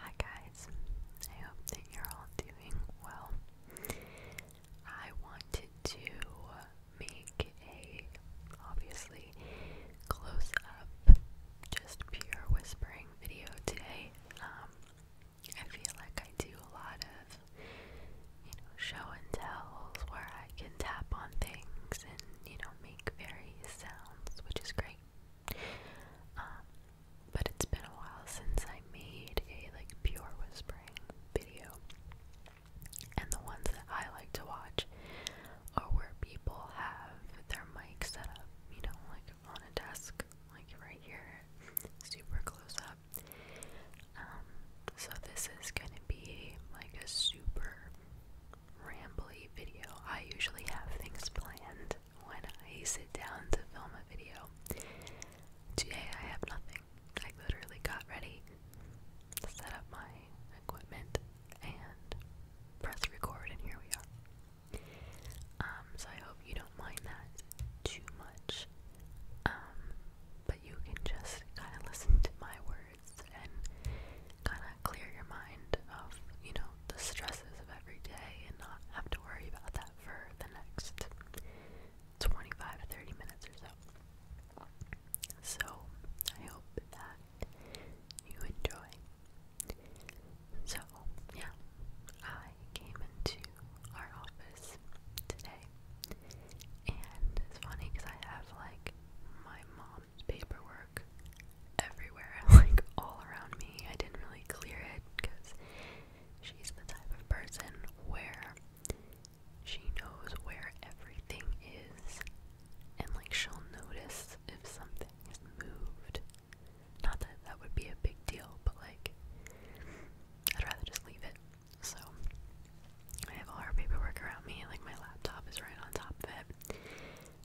Hi guys, I hope that you're all doing well. I wanted to make a obviously close up, just pure whispering video today. Um, I feel like I do a lot of, you know, show and tells where I can tap on things and, you know, make various sounds, which is great. Um, but it's been a while since I made a, like, pure whispering video. And the ones that I like to watch are where people have their mic set up, you know, like on a desk, like right here, super close up. Um, so this is gonna be like a super rambly video. I usually have things planned when I sit down to film a video. Today I have nothing. I literally got ready, set up my equipment, and press record, and here we are. Um, so I hope you don't mind that too much. Um, but you can just kind of listen to my words and kind of clear your mind of, you know, the stresses of every day and not have to worry about that for the next 25 to 30 minutes or so. So I hope that you enjoy. So, yeah, I came into our office today, and it's funny because I have like my mom's paperwork everywhere, like all around me. I didn't really clear it because she's the type of person where she knows where everything is, and like she'll notice if something is moved not that that would be a big deal, but like, I'd rather just leave it. So, I have all our paperwork around me, like, my laptop is right on top of it.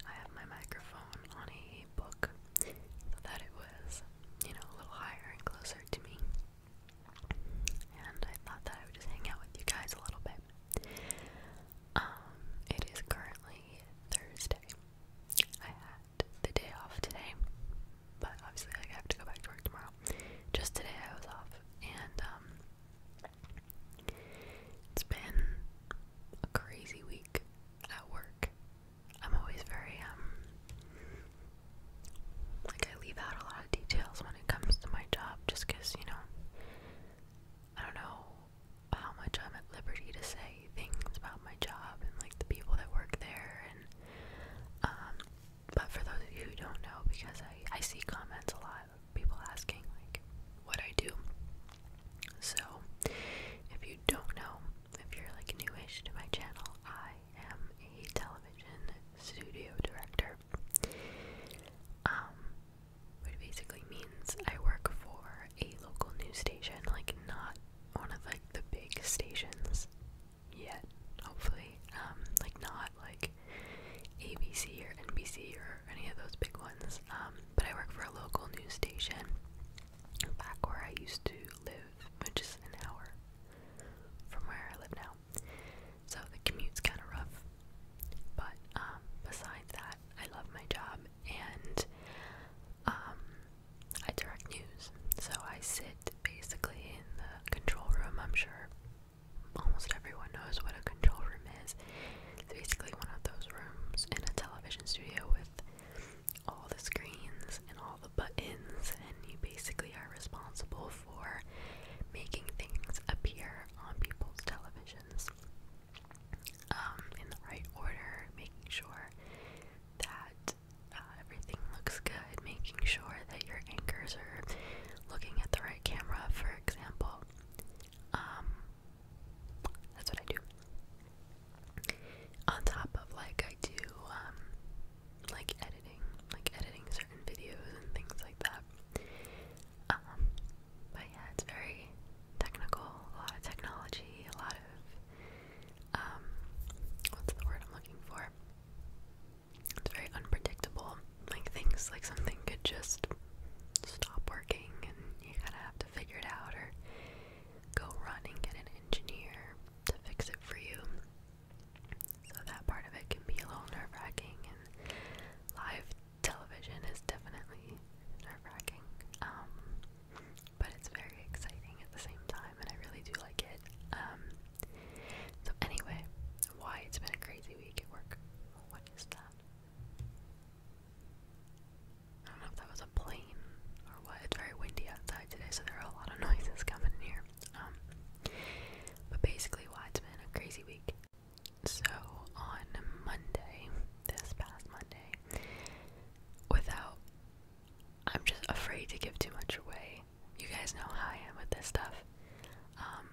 I have my microphone on a book so that it was, you know, a little higher and closer to me. And I thought that I would just hang out with you guys a little bit. Um, it is currently Thursday the day off today, but obviously like, I have to go back to work tomorrow. Just today I was off, and um, it's been a crazy week at work. I'm always very um, like I leave out a lot of details when it comes to my job, just because you know I don't know how much I'm at liberty to say say things about my job and like the people that work there and um but for those of you who don't know because I I see comments a lot of people asking like what I do. So if you don't know, if you're like newish to my channel, I am a television studio director. Um which basically means I work for a local news station, like not one of like the big stations yet, hopefully. Um, like not like ABC or NBC or any of those big ones. Um, but I work for a local news station back where I used to live, which is an hour from where I live now. So the commute's kind of rough. But um, besides that, I love my job and um, I direct news. So I sit basically in the control room. I'm sure almost everyone knows what a control room is. It's basically one of those rooms in a television studio with all the screens and all the buttons, and you basically are responsible for making things appear on people's televisions um, in the right order, making sure that uh, everything looks good, making sure that your anchors are looking at the right camera, for example. Um, that's what I do. On top of like, I do um, like editing, like editing certain videos and things like that. Um, but yeah, it's very technical, a lot of technology, a lot of um, what's the word I'm looking for? It's very unpredictable. Like things like something could just stop working and you kind of have to figure it out or go run and get an engineer to fix it for you. So that part of it can be a little nerve-wracking and live television is definitely nerve-wracking. Um, but it's very exciting at the same time, and I really do like it. Um, so, anyway, why it's been a crazy week at work. What is that? I don't know if that was a plane or what. It's very windy outside today, so there are a lot of noises coming in here. Um, but basically, why it's been a crazy week. So, on Monday, this past Monday, without I'm just afraid to give too much away. You guys know how I am with this stuff. Um,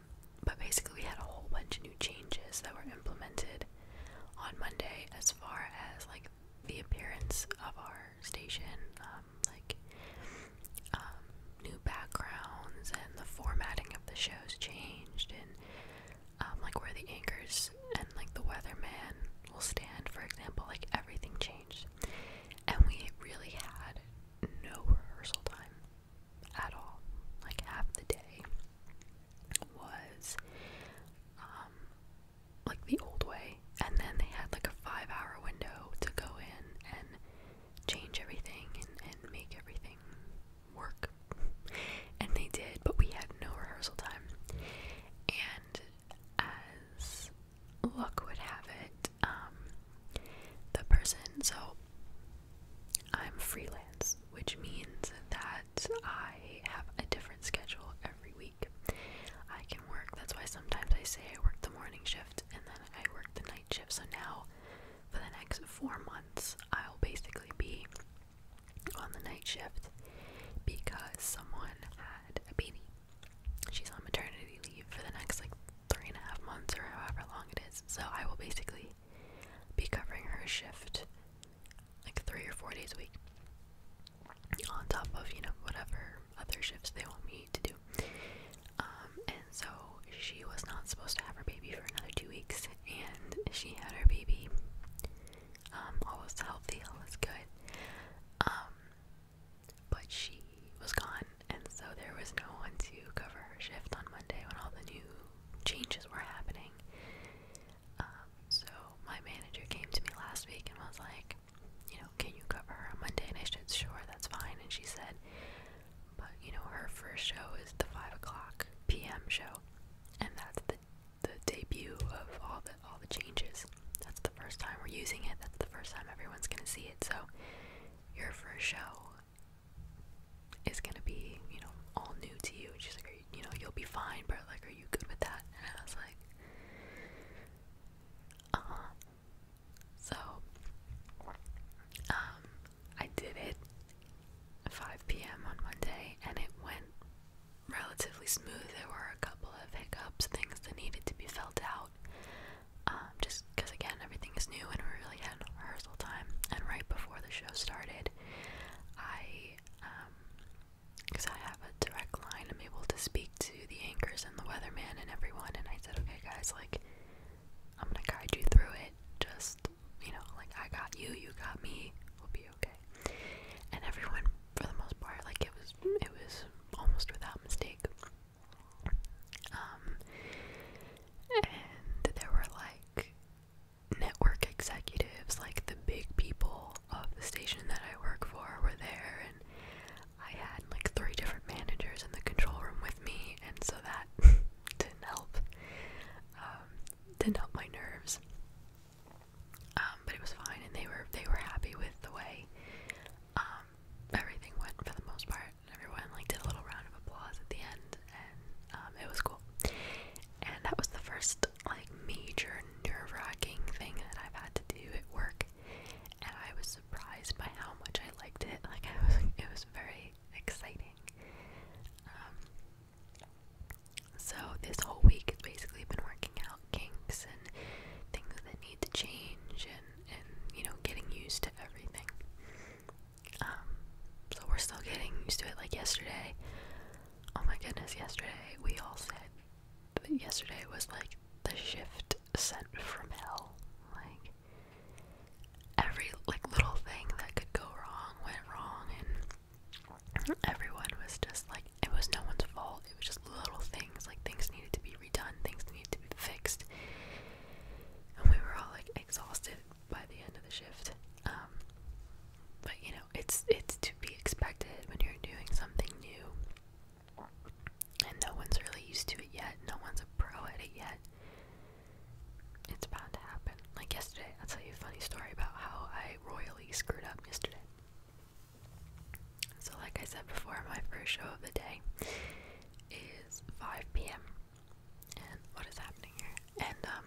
but basically, we had a whole bunch of new changes that were implemented on Monday as far as like the appearance of our station, um, like um, new backgrounds, and the formatting of the shows changed, and um, like where the anchors and like the weatherman will stand, for example, like everything changed. And we really had no rehearsal time at all. Like half the day was um, like the old way, and then they had like a five hour window to go in and change everything and make everything work. And they did, but we had no rehearsal time and as luck would have it, um, the person, so I'm freelance, which means that I have a different schedule every week. I can work, that's why sometimes I say I worked the morning shift and then I worked the night shift. So now, for the next four months, I'll basically be on the night shift because someone had a baby. She's on maternity leave for the next like three and a half months or however long it is. So I will basically be covering her shift like three or four days a week on top of, you know, whatever other shifts they want me to do. Um, and so she was not supposed to have her baby for another two weeks and she had her baby um, all was healthy, all was good, um, but she was gone, and so there was no one to cover her shift on Monday when all the new changes were happening, um, so my manager came to me last week and I was like, you know, can you cover her on Monday, and I said, sure, that's fine, and she said, but, you know, her first show is the 5 o'clock p.m. show, and that's the the debut of all the all the changes. That's the first time we're using it. That's the first time everyone's gonna see it. So your first show is gonna be, you know, all new to you. And she's like, you, know, you'll be fine, but like, are you good with that? And I was like, uh So, um, I did it 5 p.m. on Monday, and it went relatively smooth. There were a couple of hiccups, things that needed to be felt out. Um, just because, again, everything is new and we really had no rehearsal time. And right before the show started, I, because um, I have a direct line, I'm able to speak to the anchors and the weatherman and everyone. And I said, okay, guys, like, I'm gonna guide you through it. Just you know, like I got you, you got me, we'll be okay. And everyone, for the most part, like it was, it was almost without mistake. Um, and there were like network executives, like the big people of the station that I work for, were there, and I had like three different managers in the control room with me, and so that didn't help. Um, didn't help my nerves. Um, but it was fine, and they were they were happy with the way um, everything went for the most part. Everyone like did a little round of applause at the end, and um, it was cool. And that was the first like major nerve-wracking thing that I've had to do at work, and I was surprised by how much I liked it. Like I was, it was very exciting. Um, so this whole week has basically been working out kinks and things that need to change and and you know getting used to everything. Um, so we're still getting used to it. Like yesterday, oh my goodness, yesterday we all said that yesterday was like the shift sent from hell. Like every like little thing that could go wrong went wrong, everyone was just like it was no one's fault. It was just little things like things needed to be redone, things needed to be fixed, and we were all like exhausted by the end of the shift. Um, but you know, it's it's to be expected when you're doing something new, and no one's really used to it yet. No one's a pro at it yet. It's bound to happen. Like yesterday, I'll tell you a funny story about how I royally screwed up yesterday. So, like I said before, my first show of the day is 5 p.m. And what is happening here? And, um,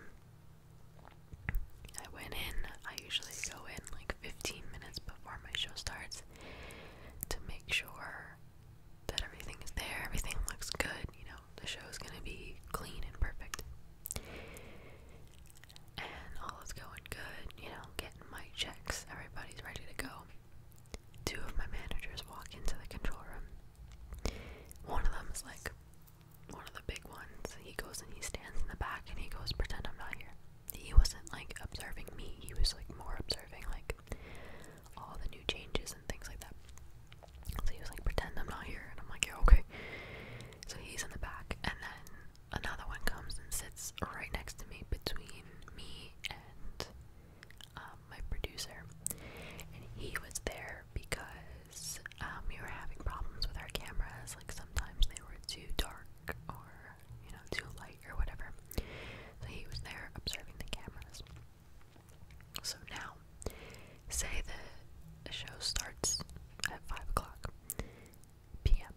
I went in, I usually go in like 15 minutes before my show starts to make sure that everything is there, everything looks good, you know, the show's gonna be clean and perfect. And all is going good, you know, getting my checks, everybody's ready to go. Two of my managers walk into the control room. One of them is like one of the big ones. He goes and he stands in the back and he goes, Pretend I'm not here. He wasn't like observing me, he was like more observing like all the new changes and things like that. So he was like, pretend I'm not here. And I'm like, yeah, okay. So he's in the back. And then another one comes and sits right next to me between me and um, my producer. And he was there because um, we were having problems with our cameras. Like sometimes they were too dark or, you know, too light or whatever. So he was there observing the cameras. So now, say the show starts at 5 o'clock p.m.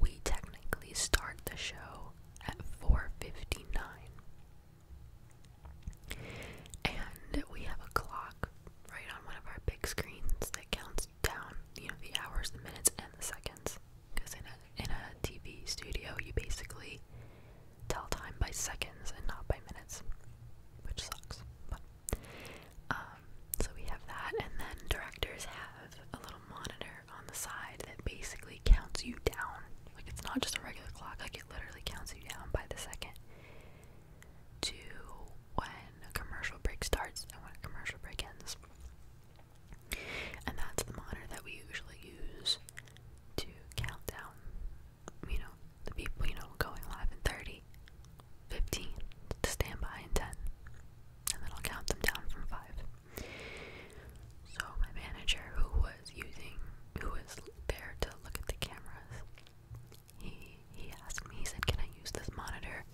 We technically start the show at 4.59. And we have a clock right on one of our big screens that counts down, you know, the hours, the minutes, and the seconds. Because in a, in a TV studio, you basically tell time by seconds and not by minutes, which sucks. But um, so we have that, and then directors have a little monitor on the side that basically counts you down. Like it's not just a regular clock, like it literally counts you down by the second to when a commercial break starts and when a commercial break ends. And that's the monitor that we usually use to count down you know, the people, you know, going live in 30, 15, to stand by in 10. And then I'll count them down from 5. So my manager, who was using, who was there to look at the cameras, he, he asked me, he said, can I use this monitor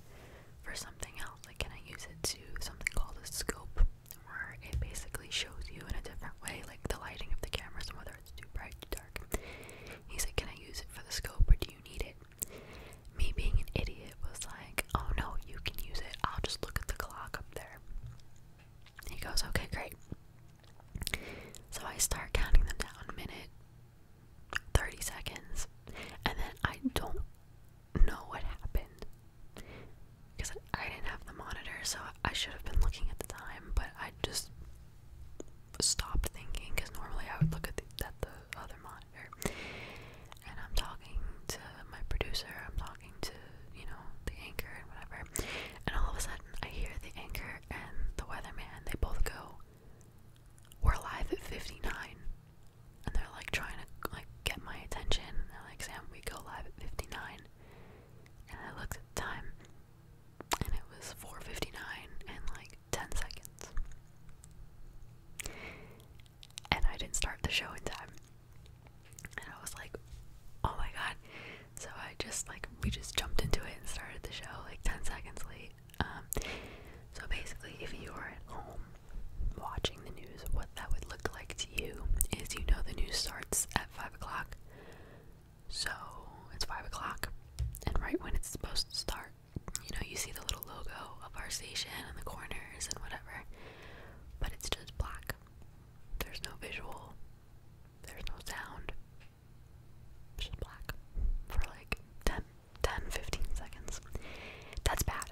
for something else? Like, can I use it to something called a scope? Where it basically shows you in a different way, like the lighting of the cameras and whether it's too bright, too he said, Can I use it for the scope or do you need it? Me being an idiot was like, Oh no, you can use it. I'll just look at the clock up there. He goes, Okay, great. So I start counting them down minute, 30 seconds, and then I don't know what happened because I didn't have the monitor, so I should have been looking at the time, but I just Stop thinking because normally I would look at the, other monitor. And I'm talking to my producer, I'm talking to, you know, the anchor and whatever. And all of a sudden, I hear the anchor and the weatherman, they both go, We're live at 59. And they're like trying to like get my attention. And they're like, Sam, we go live at 59. And I looked at the time and it was 4:59 and like 10 seconds. And I didn't start the show in time. And I was like, "Oh my god." So I just like we just jumped into it and started the show like 10 seconds late. Um so basically if you are at home watching the news, what that would look like to you is you know the news starts at 5 o'clock. So it's five o'clock, and right when it's supposed to start, you know, you see the little logo of our station in the corners and whatever, but it's just black. There's no visual, there's no sound. It's just black for like 10, 10 15 seconds. That's bad.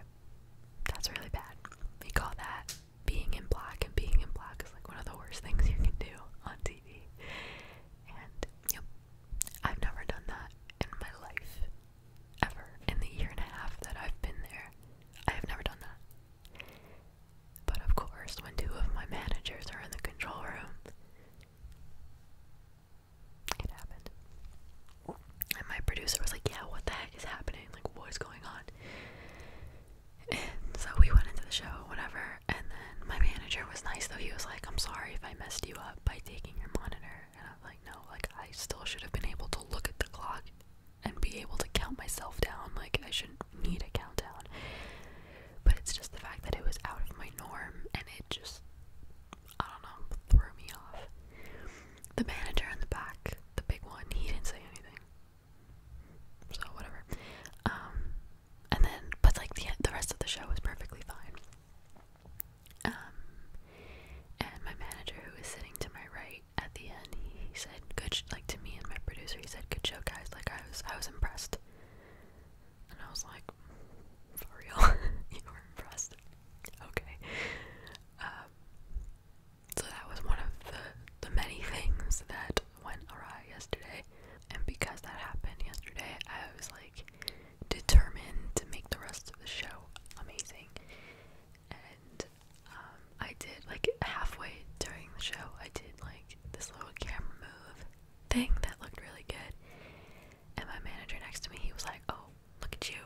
That's really bad. We call that being in black, and being in black is like one of the worst things you can do on TV. And yep, I've never done that in my life ever. In the year and a half that I've been there, I have never done that. But of course, when two of my managers are in the control room, it happened. And my producer was like, Yeah, what the heck is happening? Like, what is going on? And so we went into the show, whatever, and then my manager was nice though. He was like, I'm sorry if I messed you up by taking your monitor. And I'm like, no, like I still should have been able to look at the clock and be able to count myself down. Like I shouldn't need a countdown. But it's just the fact that it was out of my norm and it just I don't know, threw me off. The manager in the back, the big one, he didn't say anything so whatever. Um, and then, but like the the rest of the show was perfectly fine. Um, and my manager, who was sitting to my right at the end, he said, "Good," like to me and my producer, he said, "Good show, guys." Like I was, I was impressed. And I was like, for real, you were impressed. Okay. Um, so that was one of the the many things that went awry yesterday. And because that happened yesterday, I was like determined to make the rest of the show amazing. And um, I did like halfway during the show, I did like this little camera move thing that looked really good. And my manager next to me, he was like, Oh, look at you.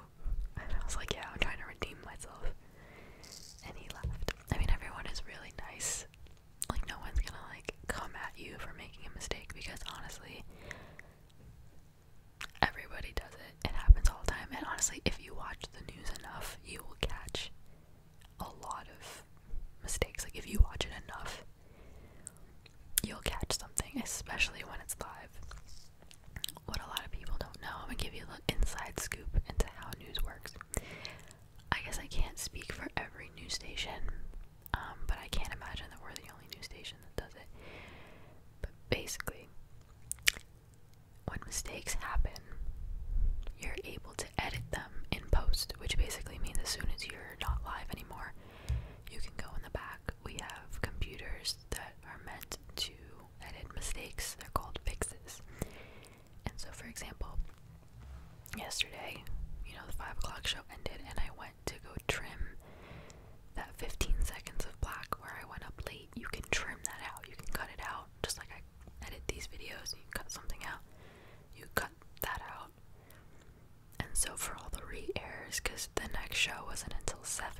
I was like, Yeah, I'm trying to redeem myself. And he laughed. I mean, everyone is really nice like no one's gonna like come at you for making a mistake because honestly everybody does it. It happens all the time. And honestly, if you watch the news enough, you will catch a lot of mistakes. Like if you watch it enough, you'll catch something, especially when it's live. What a lot of people don't know, I'm gonna give you a little inside scoop into how news works. I guess I can't speak for every news station, um, but I can't imagine that we're the only news station that does it. But basically, when mistakes happen, you're able to edit them in post, which basically means as soon as you're not live anymore, you can go in the back. We have computers that are meant to edit mistakes, they're called fixes. And so, for example, yesterday, you know, the 5 o'clock show ended, and I went to go trim that 15 seconds of black where I went up late. You can trim that out, you can cut it out, just like I edit these videos, you cut something out, you cut that out. And so, for all the re airs, because the next show wasn't until 7,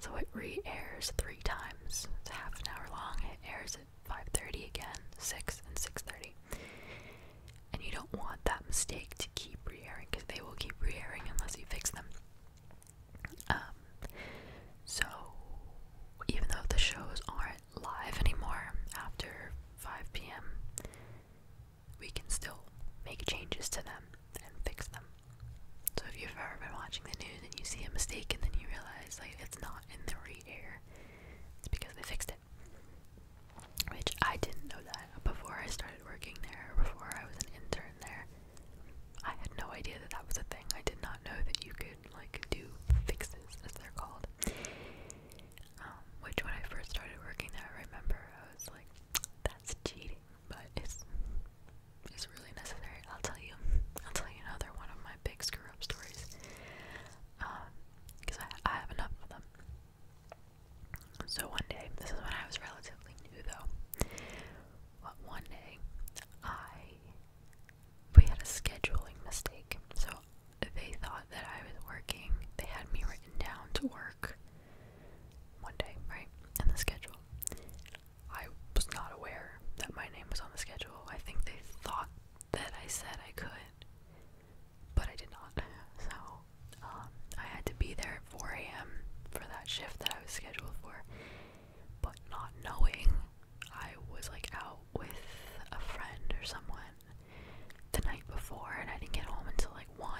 so it re airs three times. It's half an hour long, it airs 5.30 again 6 and 6.30 and you don't want that mistake to keep re-airing because they will keep re-airing unless you fix them um, so even though the shows aren't live anymore after 5 p.m we can still make changes to them and fix them so if you've ever been watching the news and you see a mistake and then you realize like it's not in the re-air it's because they fixed it. Which I didn't know that before I started working there, before I was an intern there. I had no idea that that was a thing. I did not know that you could like do fixes, as they're called. Um, which when I first started working there, I remember I was like, "That's cheating," but it's it's really necessary. I'll tell you. I'll tell you another one of my big screw stories because um, I, have enough of them. So one day, this is when I was relatively new though, one day I we had a scheduling mistake. So they thought that I was working. They had me written down to work one day, right? In the schedule. I was not aware that my name was on the schedule. I think they thought that I said I could, but I did not. So um, I had to be there at 4 a.m. for that shift that I was scheduled for, but not knowing I was like out with a friend or someone the night before, and I didn't get home until like 1.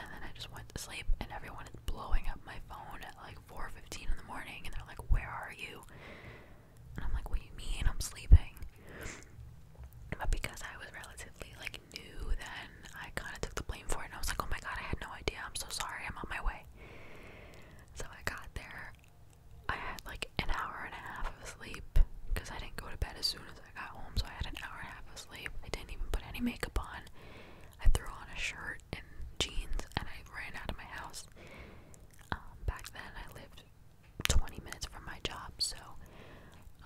And then I just went to sleep, and everyone is blowing up my phone at like 4:15 in the morning, and they're like, "Where are you?" I'm like, what do you mean? I'm sleeping. But because I was relatively like new then, I kind of took the blame for it. And I was like, oh my god, I had no idea. I'm so sorry. I'm on my way. So I got there. I had like an hour and a half of sleep because I didn't go to bed as soon as I got home. So I had an hour and a half of sleep. I didn't even put any makeup on. I threw on a shirt and jeans, and I ran out of my house. Um, back then, I lived 20 minutes from my job, so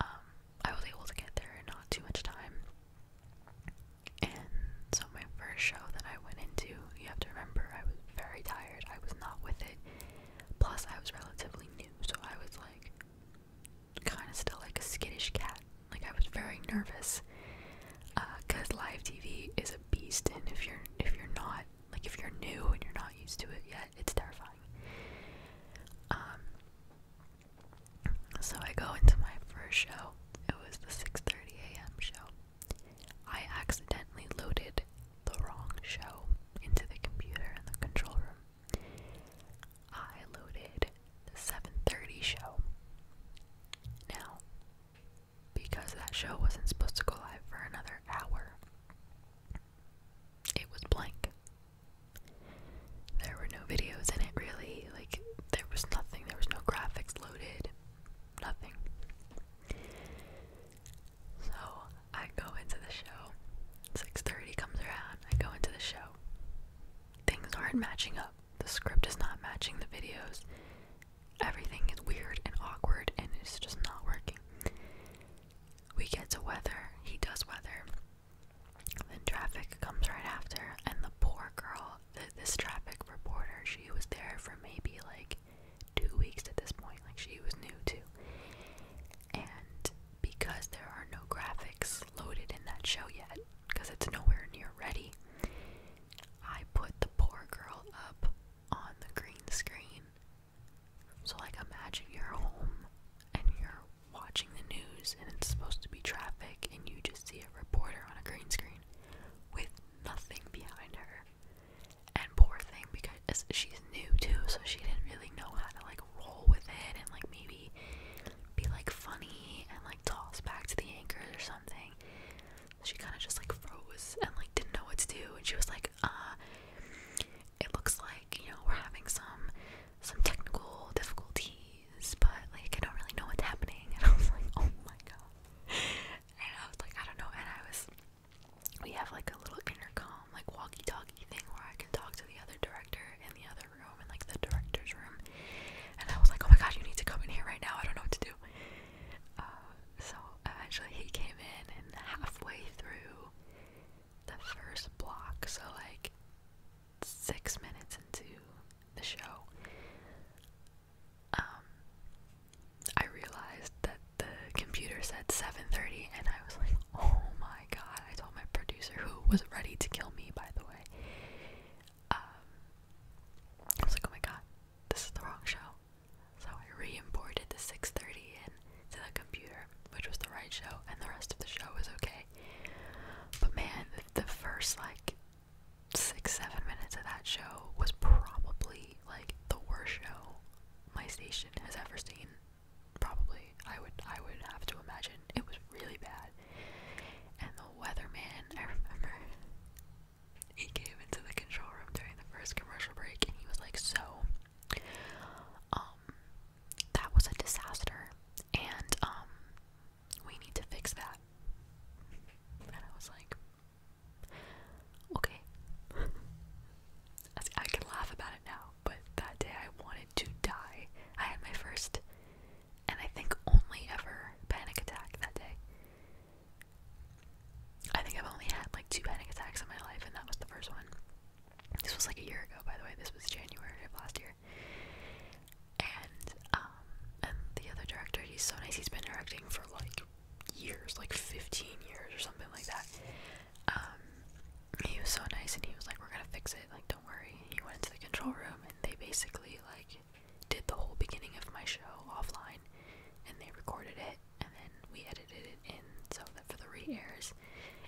um, I was able to get there in not too much time. And so, my first show that I went into, you have to remember, I was very tired. I was not with it. Plus, I was relatively new, so I was like kind of still like a skittish cat. Like, I was very nervous because uh, live TV is a beast and if you're if you're not like if you're new and you're not used to it yet, it's terrifying. Um so I go into my first show. It was the 6:30 a.m. show. I accidentally loaded the wrong show into the computer in the control room. I loaded the 7:30 show. Now, because that show wasn't supposed to go live for another hour. It was blank. There were no videos in it, really. Like, there was nothing, there was no graphics loaded, nothing. So I go into the show. 6:30 comes around. I go into the show. Things aren't matching up. The script is not matching the videos everything is weird and awkward and it's just not working. We get to weather, he does weather. Then traffic comes right after, and the poor girl, this traffic reporter, she was there for maybe like two weeks at this point, like she was new too. And because there are no graphics loaded in that show yet, because it's nowhere near ready, I put the poor girl up on the green screen. So, like, imagine you're home and you're watching the news and it's supposed to be traffic, and you just see a reporter on a green screen with nothing behind her. And poor thing, because she's new too, so she didn't really know how to like roll with it and like maybe be like funny and like toss back to the anchors or something she kind of just like froze and like didn't know what to do and she was like uh it looks like you know we're having some some technical difficulties but like I don't really know what's happening and I was like oh my god and I was like I don't know and I was we have like a little intercom like walkie-talkie thing where I can talk to the other director in the other room in like the director's room and I was like oh my god you need to come in here right now I don't know what to do uh, so eventually he came in, and halfway through the first block, so like six minutes into the show, um, I realized that the computer said 7:30, and I was like, "Oh my god!" I told my producer, who was ready to kill me, by the way. Um, I was like, "Oh my god, this is the wrong show. So I re-imported the 6:30 in to the computer, which was the right show, and the rest of the show was okay. But man, the first like six, seven minutes of that show was probably like the worst show my station has ever seen. Probably, I would, I would have to imagine it was really bad. And the weatherman, I remember he came into the control room during the first commercial break and he was like, So, um, that was a disaster and um, we need to fix that. And I was like, Okay. I can laugh about it now, but that day I wanted to die. I had my first and I think only ever panic attack that day. I think I've only had like two panic attacks in my life, and that was the first one. This was like a year ago, by the way. This was January of last year. And um, and the other director, he's so nice. He's been directing for like years, like 15 years or something like that. Um, he was so nice, and he was like, "We're gonna fix it. Like, don't worry." he went into the control room, and they basically like did the whole beginning of my show offline and they recorded it and then we edited it in so that for the re airs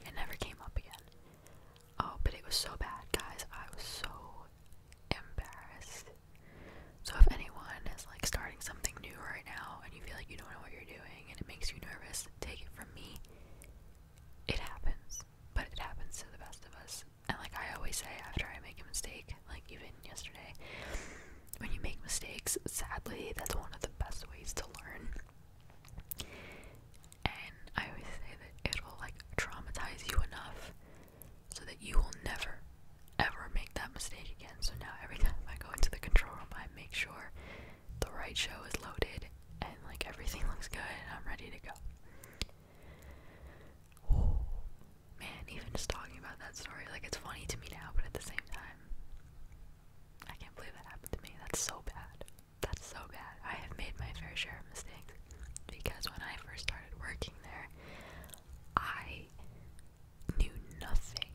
it never came up again. Oh, but it was so bad, guys. I was so embarrassed. So if anyone is like starting something new right now and you feel like you don't know what you're doing and it makes you nervous, take it from me. It happens, but it happens to the best of us and like I always say after I make a mistake, like even yesterday, when you make mistakes, sadly, that's one of the best ways to learn. And I always say that it'll like traumatize you enough so that you will never ever make that mistake again. So now every time I go into the control room, I make sure the right show is loaded and like everything looks good and I'm ready to go. Oh man, even just talking about that story, like it's funny to me now, but at the same time, I can't believe that happened to me. That's so bad. That's so bad. I have made my fair share of mistakes because when I first started working there, I knew nothing,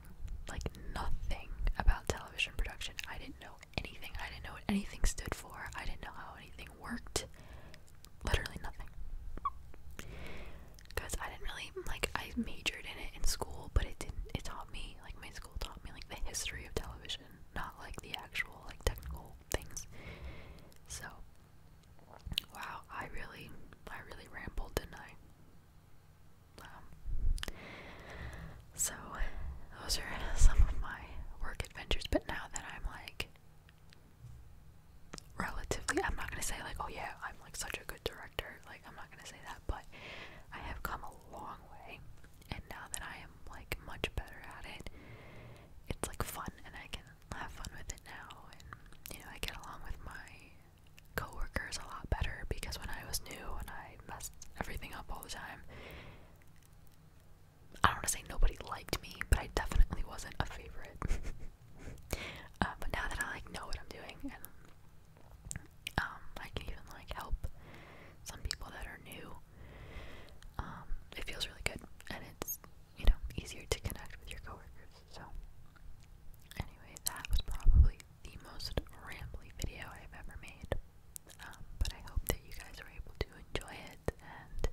like nothing about television production. I didn't know anything. I didn't know what anything stood for. I didn't know how anything worked literally nothing. Cause I didn't really like I majored in it in school, but it didn't it taught me like my school taught me like the history of television, not like the actual like technical things. So wow, I really I really rambled, didn't I? Um, so those are some of my work adventures, but now that I'm like relatively I'm not gonna say like oh yeah I'm like such a good director like I'm not gonna say that but I have come a long way and now that I am like much better at it it's like fun and I can have fun with it now and you know I get along with my coworkers a lot better because when I was new and I messed everything up all the time I don't want to say nobody liked me, but I definitely wasn't a favorite. Uh, but now that I like know what I'm doing, and um, I can even like help some people that are new. Um, it feels really good, and it's you know easier to connect with your coworkers. So, anyway, that was probably the most rambly video I've ever made. Um, but I hope that you guys were able to enjoy it and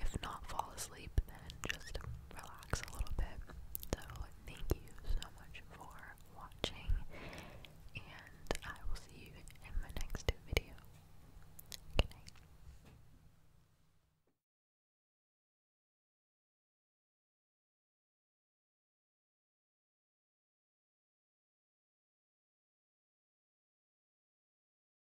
if not fall asleep, then just relax a little bit. So, thank you so much for watching, and I will see you in my next video. Good